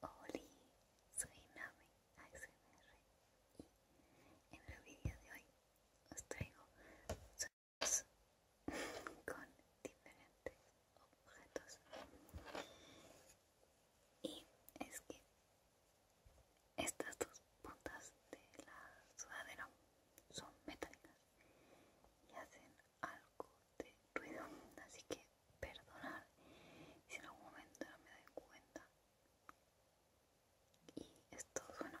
Hola, soy Nave ASMR y en el video de hoy os traigo sonidos con diferentes objetos y es que estas dos puntas de la sudadera son metálicas y hacen algo de ruido así que perdonad si en algún momento no me doy cuenta y esto bueno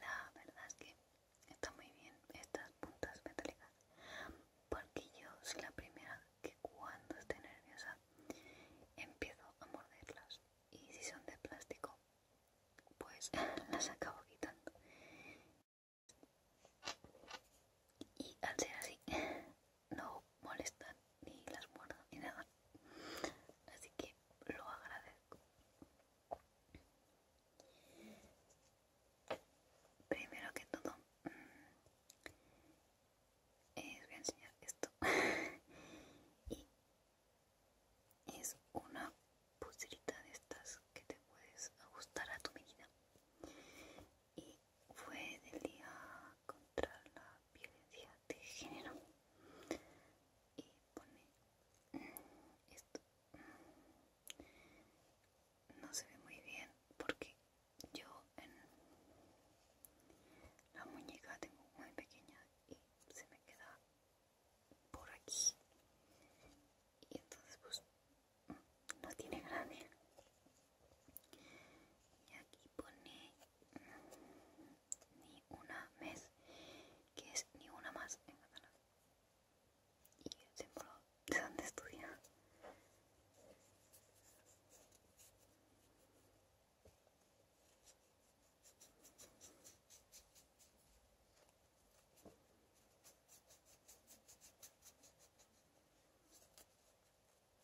La verdad es que está muy bien estas puntas metálicas porque yo soy la primera que cuando estoy nerviosa empiezo a morderlas y si son de plástico pues las acabo quitando y al ser así no molestan ni las muerdo, ni nada así que lo agradezco primero que todo mm, eh, voy a enseñar esto y es una pulserita de estas que te puedes ajustar a tu medida y fue del día contra la violencia de género y pone mm, esto mm, no se ve muy bien porque yo en la muñeca tengo muy pequeña y se me queda por aquí y entonces pues mm, no tiene grande y aquí pone ni una mes, que es ni una más en catalán. Y el símbolo de donde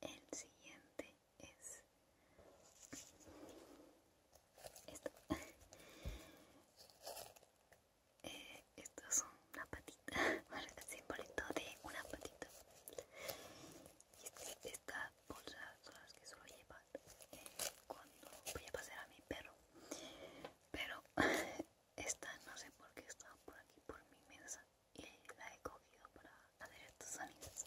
El siguiente es esto. Eh, son las patitas una patita, simbolito de una patita. Y este, esta bolsa son las que suelo llevar eh, cuando voy a pasar a mi perro. Pero esta no sé por qué está por aquí, por mi mesa, y la he cogido para hacer estos sonidos.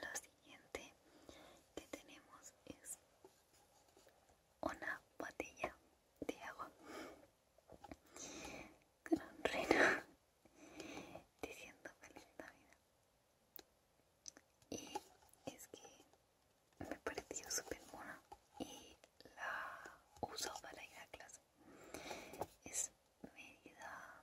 lo siguiente que tenemos es una botella de agua con rena diciendo feliz navidad y es que me pareció súper buena y la uso para ir a clase es medida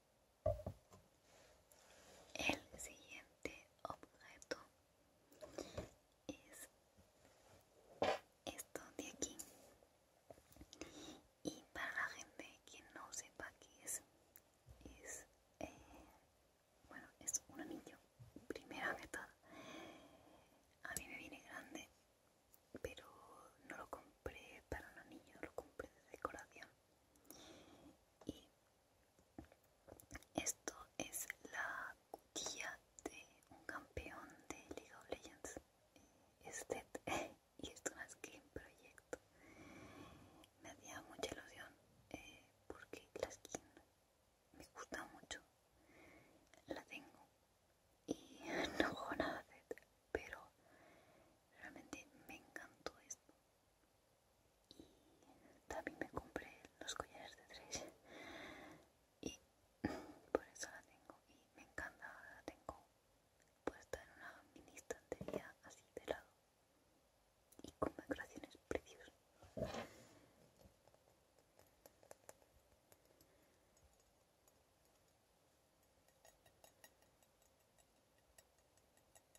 El siguiente objeto es esto de aquí. Y para la gente que no sepa qué es, es eh, bueno, es un anillo. primera mitad a mí me viene grande, pero no lo compré para un anillo, lo compré de decoración y esto es la guía de un campeón de League of Legends es y esto es un proyecto me hacía mucha ilusión eh, porque la skin me gusta mucho la tengo y no juego nada de pero realmente me encantó esto y también me compré los collares de tres y por eso la tengo y me encanta, la tengo puesta en una mini estantería así de lado y con decoraciones preciosas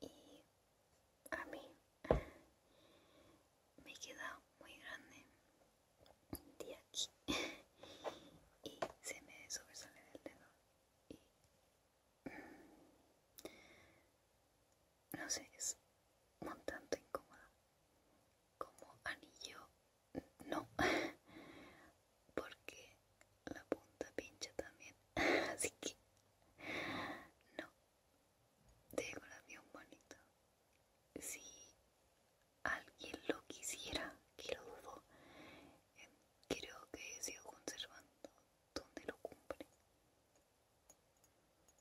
y a mí me queda muy grande de aquí y se me sobresale del dedo y mm, no sé, es un tanto incómodo como anillo no porque la punta pincha también así que no decoración bonito si alguien lo quisiera que lo creo que sigo conservando donde lo cumple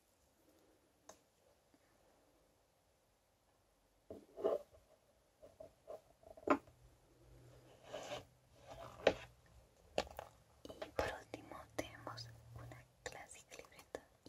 Y por último tenemos una clásica libreta y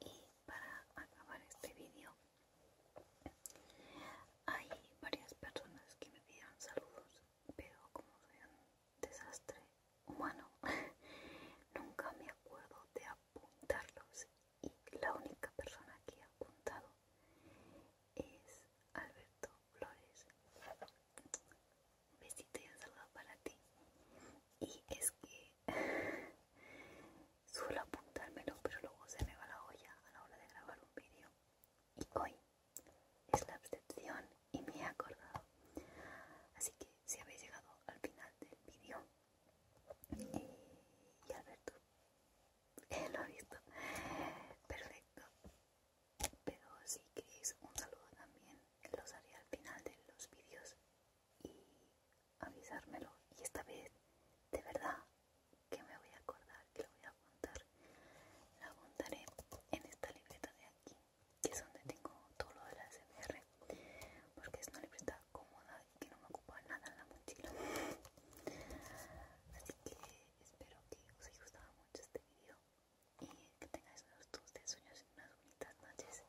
Y para acabar este vídeo hay varias personas que me dieron saludos, pero como soy un desastre humano, nunca me acuerdo de apuntarlos. Y la única persona que he apuntado es Alberto Flores. Un besito y un saludo para ti. Y es que Suelo apuntármelo, pero luego se me va la olla a la hora de grabar un vídeo. Y hoy es la excepción y me he acordado. Así que si habéis llegado al final del vídeo, y Alberto, lo ha visto, perfecto. Pero si queréis un saludo también, los haré al final de los vídeos. Y avisármelo y esta vez de verdad que me voy a acordar que lo voy a apuntar. Lo apuntaré en esta libreta de aquí, que es donde tengo todo lo de la CMR, porque es una libreta cómoda y que no me ocupa nada en la mochila. Así que espero que os haya gustado mucho este video y que tengáis unos de sueños y unas bonitas noches.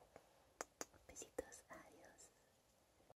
Besitos, adiós.